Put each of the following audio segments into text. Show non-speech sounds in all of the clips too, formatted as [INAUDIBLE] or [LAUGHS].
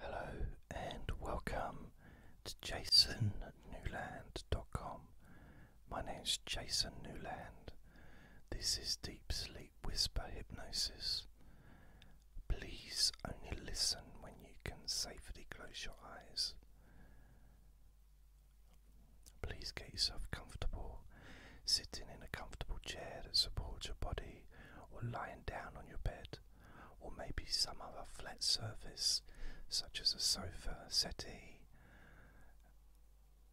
Hello and welcome to jasonnewland.com. My name is Jason Newland. This is Deep Sleep Whisper Hypnosis. Please only listen when you can safely close your eyes. Please get yourself comfortable, sitting in a comfortable chair that supports your body or lying down on your bed or maybe some other flat surface such as a sofa, a settee.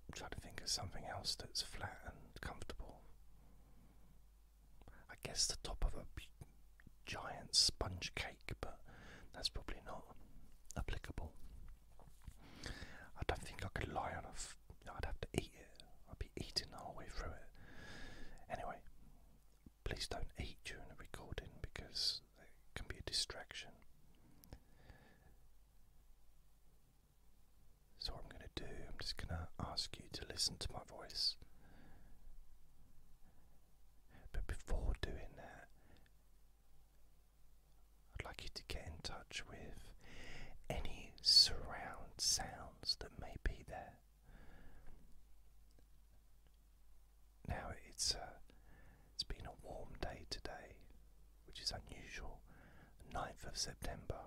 I'm trying to think of something else that's flat and comfortable. I guess the top of a giant sponge cake, but that's probably not applicable. I don't think I could lie on a. F I'd have to eat it. I'd be eating the way through it. Anyway, Please don't eat during the recording because it can be a distraction. So, I'm going to do, I'm just going to ask you to listen to my voice. But before doing that, I'd like you to get in touch with any surround sounds that may be there. Now it's uh, it's been a warm day today, which is unusual, 9th of September,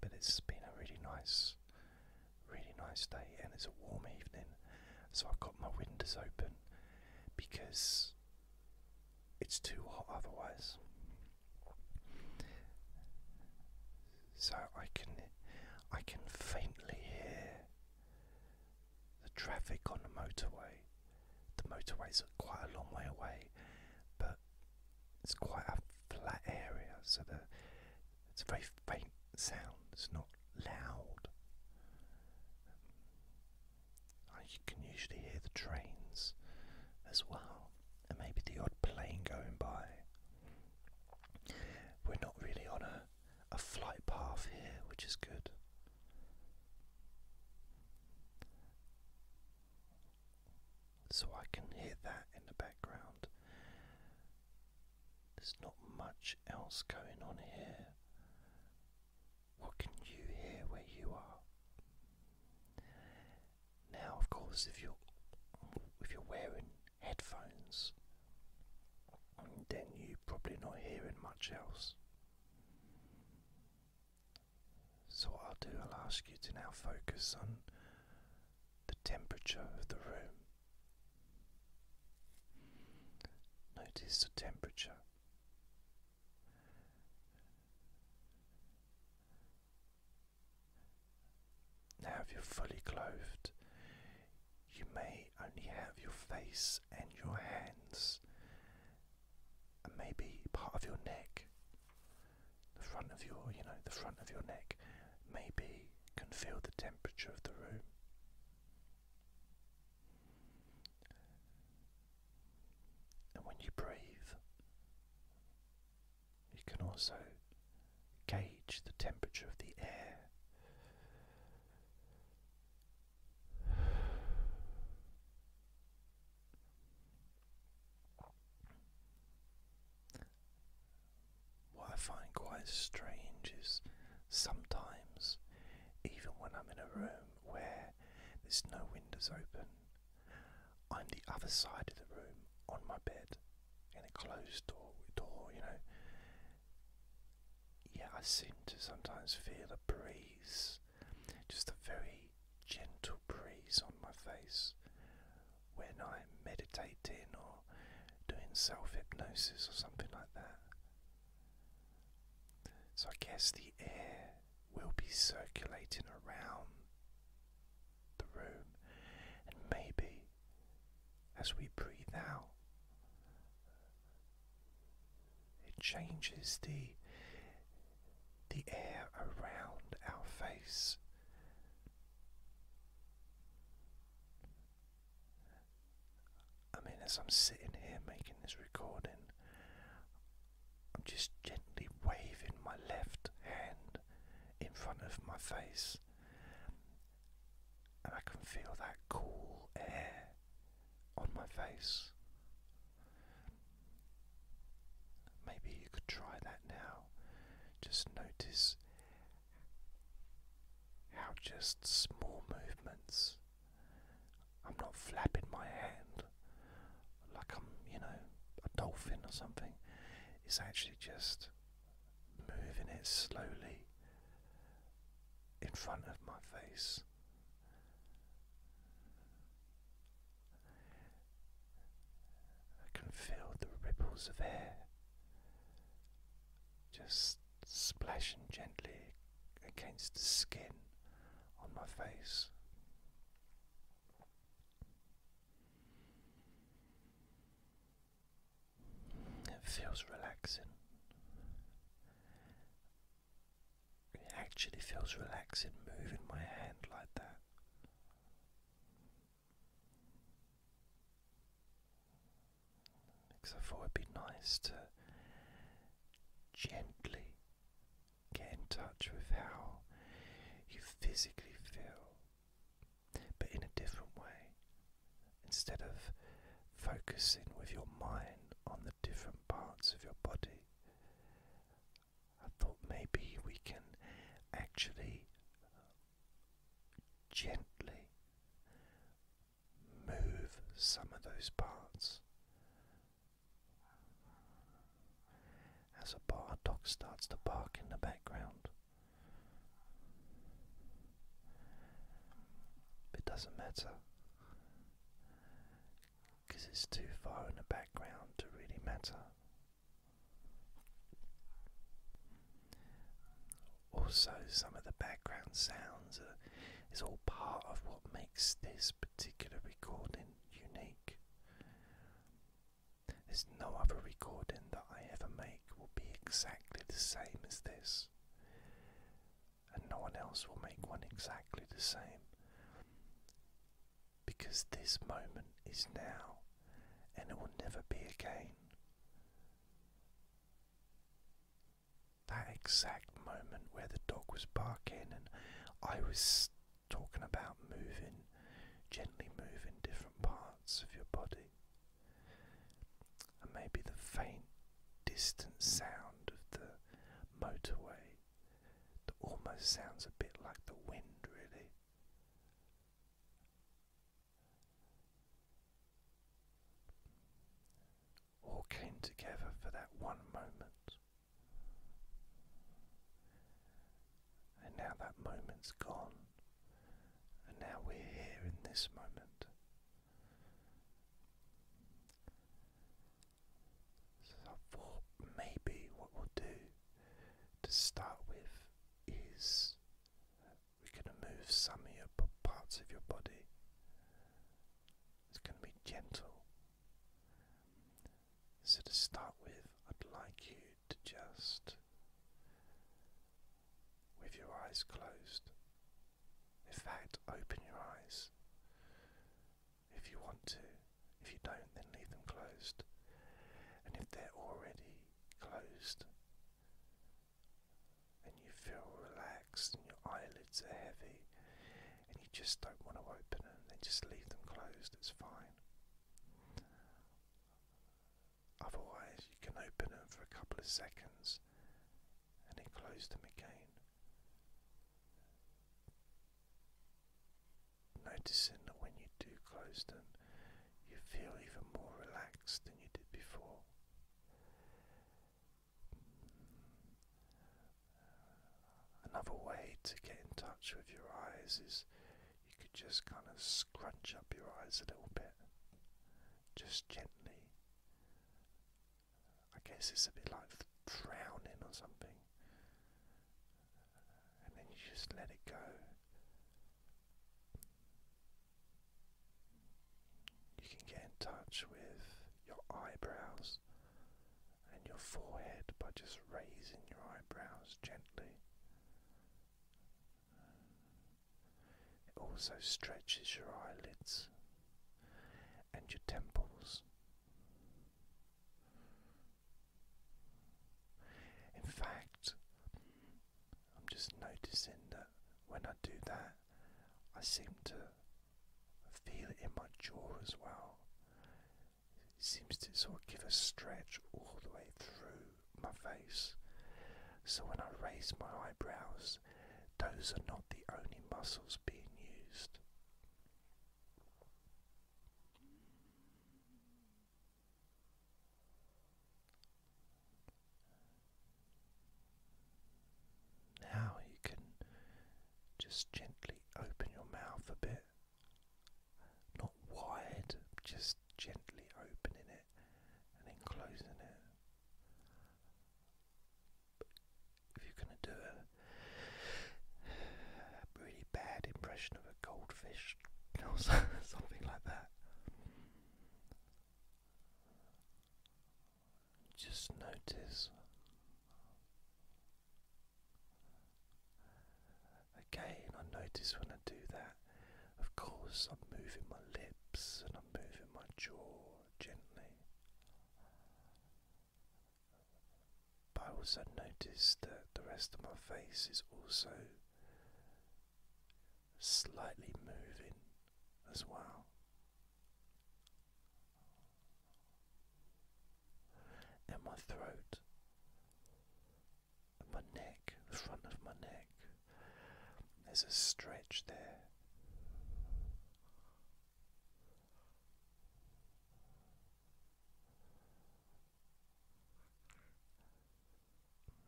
but it's been a really nice, really nice day, and it's a warm evening, so I've got my windows open because it's too hot otherwise so I can I can faintly hear the traffic on the motorway. The motorways are quite a long way away, but it's quite a flat area, so the it's a very faint sound. It's not loud. you can usually hear the trains as well, and maybe the odd plane going by. We're not really on a, flight path here, which is good. So I can hear that in the background. There's not much else going on here. What can you hear where you are? Now, of course, if you're if you're wearing headphones, then you're probably not hearing much else. So I'll do, I'll ask you to now focus on the temperature of the room. Notice the temperature. Now, if you're fully clothed, you may only have your face and your hands, and maybe part of your neck. The front of your, you know, the front of your neck maybe can feel the temperature of the room. And when you breathe, you can also gauge the temperature of the air. What I find quite strange is sometimes, even when I'm in a room where there's no windows open, I'm the other side of the room on my bed in a closed door, door, you know. Yeah, I seem to sometimes feel a breeze, just a very gentle breeze on my face when I'm meditating or doing self hypnosis or something like that. So I guess the air will be circulating around the room, and maybe as we breathe out, it changes the the air around our face. I mean, as I'm sitting here making this recording, I'm just gently waving my left hand in front of my face, and I can feel that cool air on my face. Maybe you could try that now. Just notice how just small movements. I'm not flapping my hand like I'm, you know, a dolphin or something. It's actually just moving it slowly in front of my face. I can feel the ripples of air just splashing gently against the skin on my face. It feels relaxing. It actually feels relaxing moving my hand like that. Because I thought it'd be nice to gently get in touch with how you physically feel but in a different way. Instead of focusing with your mind on the different parts of your body, I thought maybe we can actually gently move some of those parts as a dog starts to bark in the background. It doesn't matter because it's too far in the background to really matter. Also, some of the background sounds are, all part of what makes this particular recording unique. There's no other recording that I ever make will be exactly the same as this, and no one else will make one exactly the same. Because this moment is now, and it will never be again. That exact moment where the dog was barking and I was talking about moving, gently moving different parts of your body. And maybe the faint, distant sound of the motorway that almost sounds a bit like the wind, really. All came together for that one moment and now that moment's gone, and now we're here in this moment. So, I thought maybe what we'll do to start with is we're going to move some of your parts of your body. It's going to be gentle. So, to start with, I'd like you to just, with your eyes closed, in fact, open your eyes if you want to. If you don't, then leave them closed. And if they're already closed and you feel relaxed and your eyelids are heavy and you just don't want to open them, then just leave them closed, it's fine. Otherwise, you can open them for a couple of seconds and then close them again. Noticing that when you do close them, you feel even more relaxed than you did before. Another way to get in touch with your eyes is you could just kind of scrunch up your eyes a little bit, just gently. I guess it's a bit like frowning or something, and then you just let it go. You can get in touch with your eyebrows and your forehead by just raising your eyebrows gently. It also stretches your eyelids and your temples. In fact, I'm just noticing that when I do that, I seem to feel it in my jaw as well seems to sort of give a stretch all the way through my face. So when I raise my eyebrows, those are not the only muscles being used. Now you can just gently open your mouth a bit not wide, just gently opening it and then closing it. if you're going to do a really bad impression of a goldfish [LAUGHS] something like that, just notice Again, I notice when I do that, of course, I'm moving my lips and I'm moving my jaw gently. But I also notice that the rest of my face is also slightly moving as well and my throat, my neck, the front of my neck. There's a stretch there.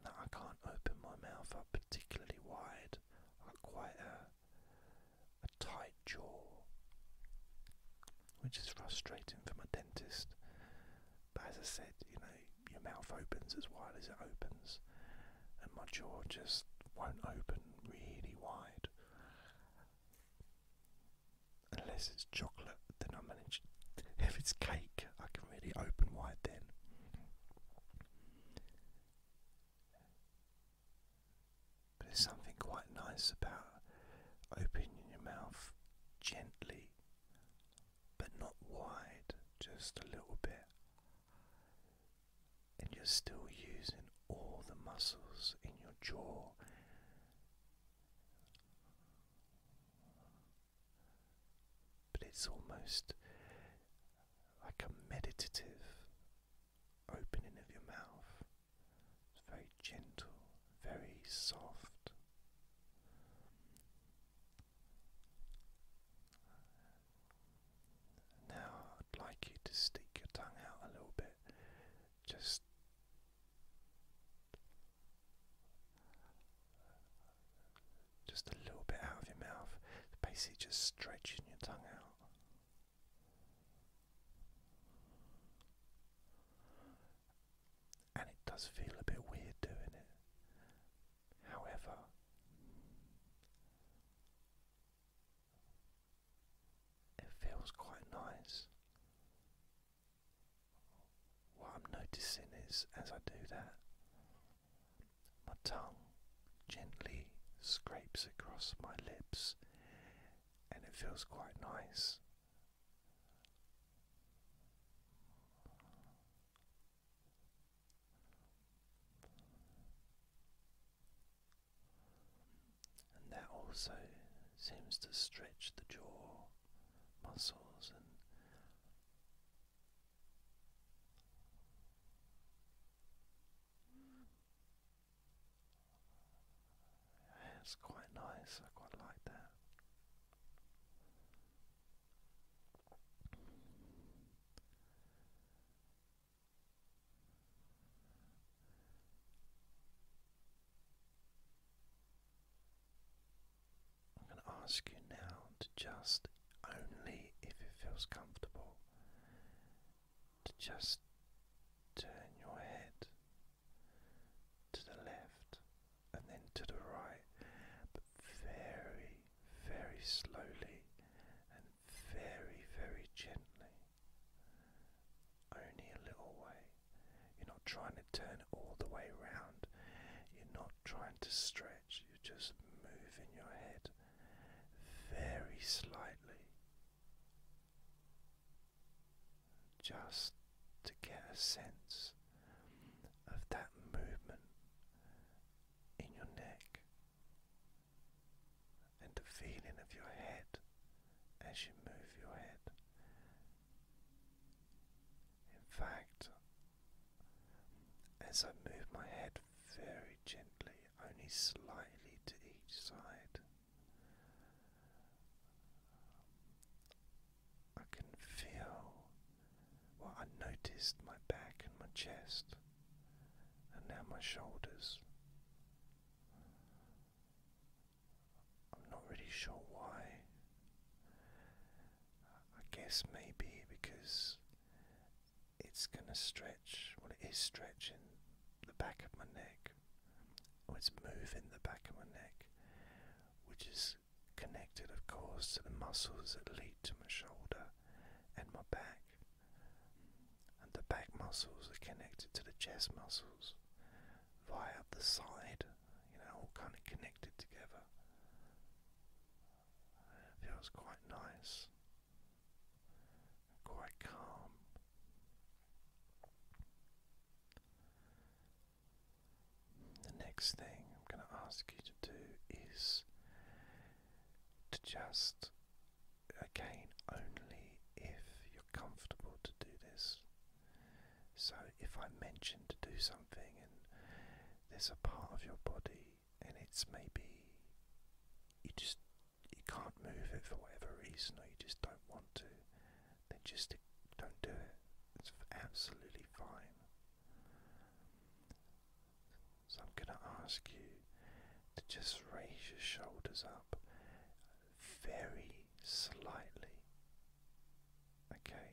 Now I can't open my mouth up particularly wide. I've quite a, a tight jaw which is frustrating for my dentist. But as I said, you know, your mouth opens as wide as it opens, and my jaw just won't open really wide. Unless it's chocolate, then I am manage. If it's cake, I can really open wide then. But there's something quite nice about opening your mouth gently, but not wide, just a little bit. And you're still using all the muscles in your jaw. But it's almost like a meditative opening of your mouth. It's very gentle, very soft. Now I'd like you to stick your tongue out a little bit, just just a little bit out of your mouth, basically just stretching your tongue out. And it does feel a bit weird doing it. However, it feels quite nice. What I'm noticing is as I do that, my tongue gently scrapes across my lips and it feels quite nice and that also seems to stretch the jaw muscles and it's quite nice, I quite like that. I'm going to ask you now to just only if it feels comfortable to just turn your head to the left and then to the right, but very, very slowly and very, very gently. Only a little way. You're not trying to turn it all the way round. You're not trying to stretch. You're just moving your head very slightly just to get a sense of that movement in your neck and the feeling of your head as you move your head. In fact, as I move my head very gently, only slightly to each side. I can feel, well, I noticed my back and my chest, and now my shoulders. I'm not really sure why. I guess maybe because it's going to stretch, well, it is stretching the back of my neck or oh, it's moving the back of my neck, which is connected, of course, to the muscles that lead to my shoulder and my back. And the back muscles are connected to the chest muscles via the side, you know, all kind of connected together. It feels quite nice, quite calm. The next thing I'm going to ask you to do is to just, again, only if you're comfortable to do this. So, if I mention to do something and there's a part of your body and it's maybe you just you can't move it for whatever reason or you just don't want to, then just don't do it. It's absolutely fine. So I'm going to ask you to just raise your shoulders up very slightly. Okay,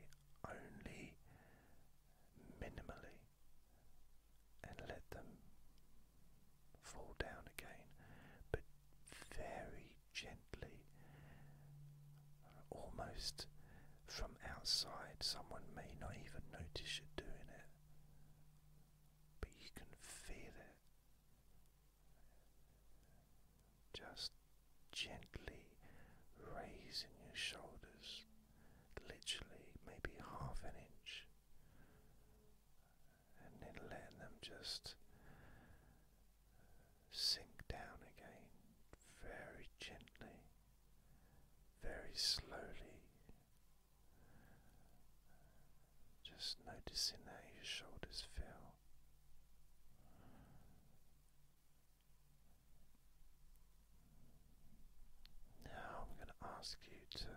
only minimally, and let them fall down again, but very gently, almost from outside. Someone may not even notice you're doing it, but you can feel it. Just gently raising your shoulders, literally maybe half an inch, and then letting them just sink down again very gently, very slowly. Just noticing how your shoulders feel. Now I'm going to ask you to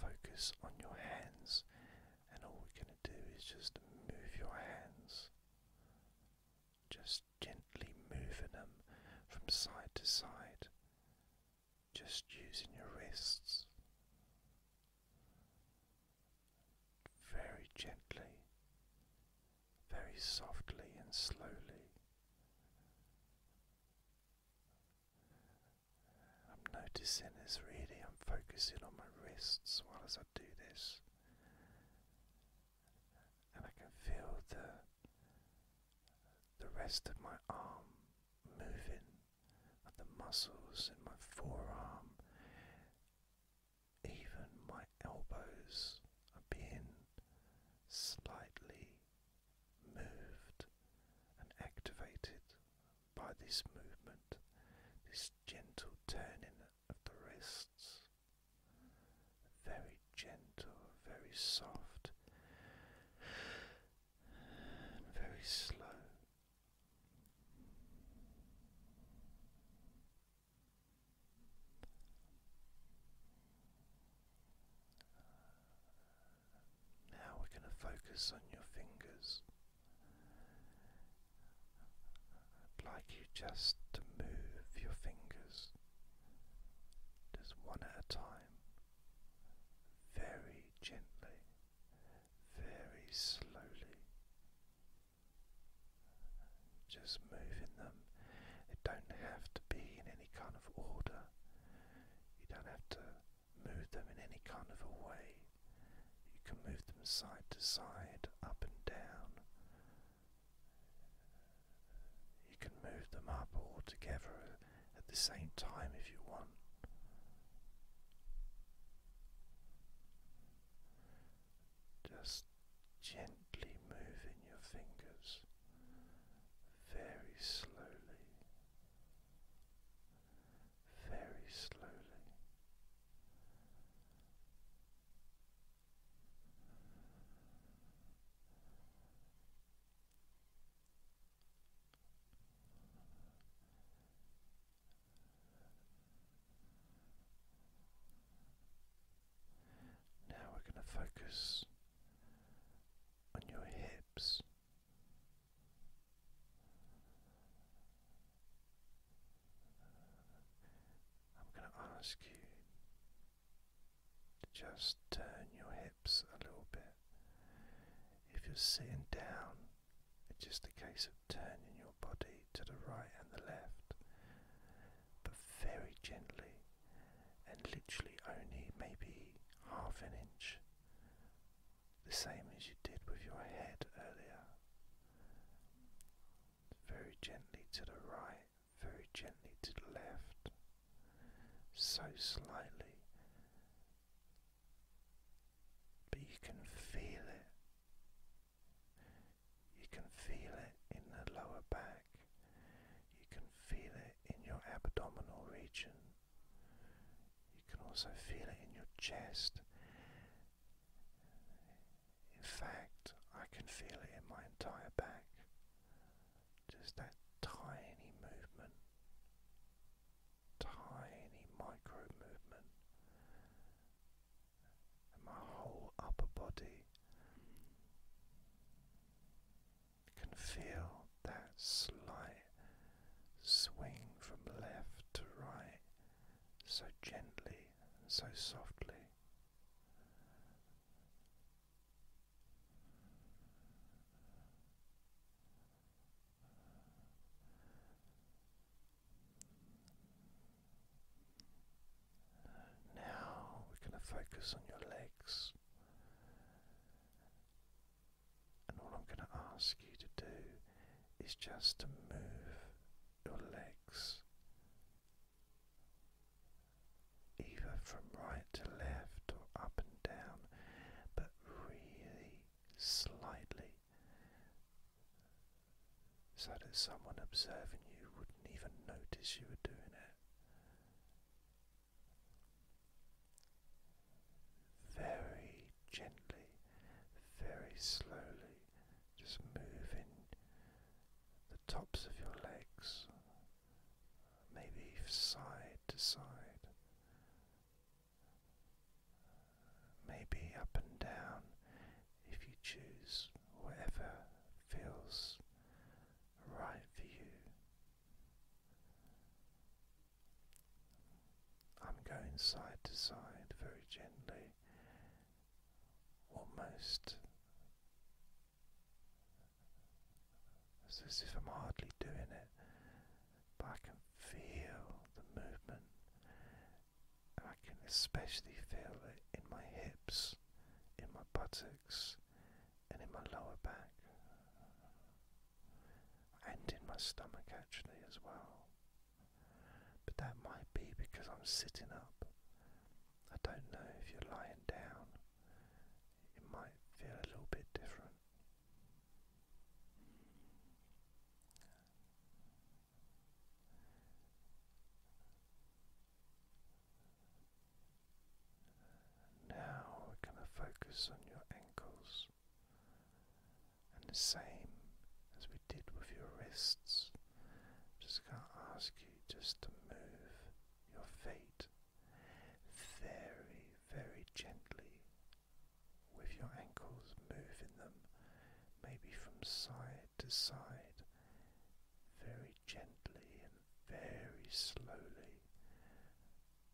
focus on your hands and all we're going to do is just move your hands, just gently moving them from side to side, just using your wrists very gently, very softly and slowly. I'm noticing this really I'm focusing on my wrists while as I do this, and I can feel the the rest of my arm moving, and the muscles in my forearm, even my elbows are being slightly moved and activated by this movement, this gentle turning of the wrists. Very gentle, very soft, very slow. Now we're going to focus on your fingers. I'd like you just to move your fingers just one at a time, very gently, very slowly. Just moving them. They don't have to be in any kind of order. You don't have to move them in any kind of a way. You can move them side to side, up and down. You can move them up all together at the same time if you want. Just gently moving your fingers very slowly very slowly. Now we're going to focus on your hips. I'm going to ask you to just turn your hips a little bit. If you're sitting down, it's just a case of turning your body to the right and the left, but very gently and literally only maybe half an inch the same as you did with your head earlier. Very gently to the right, very gently to the left, so slightly, but you can feel it. You can feel it in the lower back, you can feel it in your abdominal region. You can also feel it in your chest. In fact, I can feel it in my entire back. Just that tiny movement, tiny micro movement. my whole upper body can feel that slight swing from left to right so gently and so softly. Now we're going to focus on your legs and all I'm going to ask you to do is just to move your legs either from right to left or up and down, but really slightly so that someone observing you wouldn't even notice you were doing it very gently, very slowly, just moving the tops of your legs, maybe side to side, maybe up and down if you choose, whatever feels right for you. I'm going side to side very gently, almost as if I'm hardly doing it, but I can feel the movement, and I can especially feel it in my hips, in my buttocks, and in my lower back and in my stomach actually as well. But that might be because I'm sitting up. I don't know if you're lying down, it might feel a little bit different. Now we're going to focus on your ankles. And the same as we did with your wrists, just going to ask you just to move your feet very, very gently with your ankles, moving them maybe from side to side, very gently and very slowly,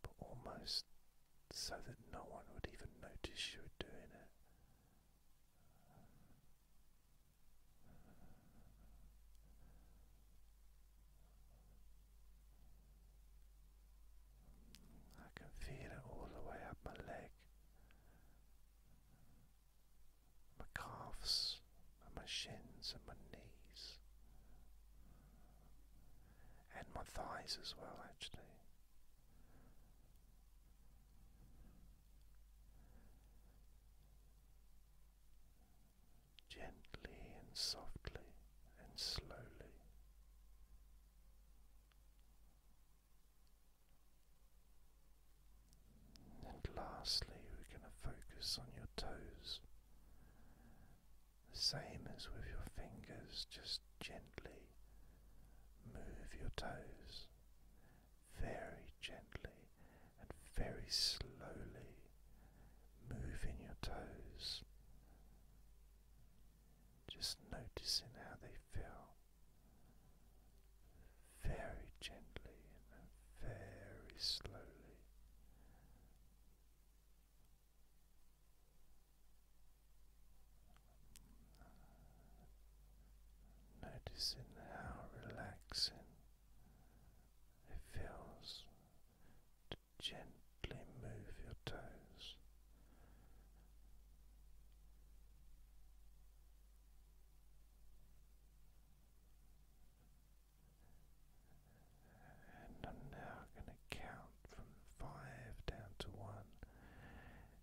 but almost so that no one would even notice you were doing it. I can feel it all the way up my leg, my calves, and my shins, and my knees and my thighs as well, actually. Gently and softly and slowly. And lastly, we're going to focus on your toes the same as with your fingers, just gently move your toes very gently and very slowly, moving your toes, just noticing how they feel. Very gently and very slowly, Noticing how relaxing it feels to gently move your toes. And I'm now going to count from five down to one.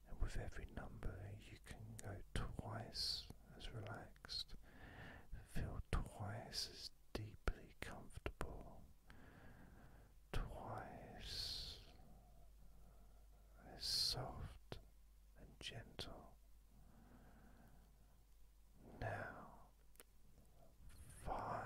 And with every number, you can go twice as relaxed, feel twice as deeply comfortable, twice as soft and gentle. Now, five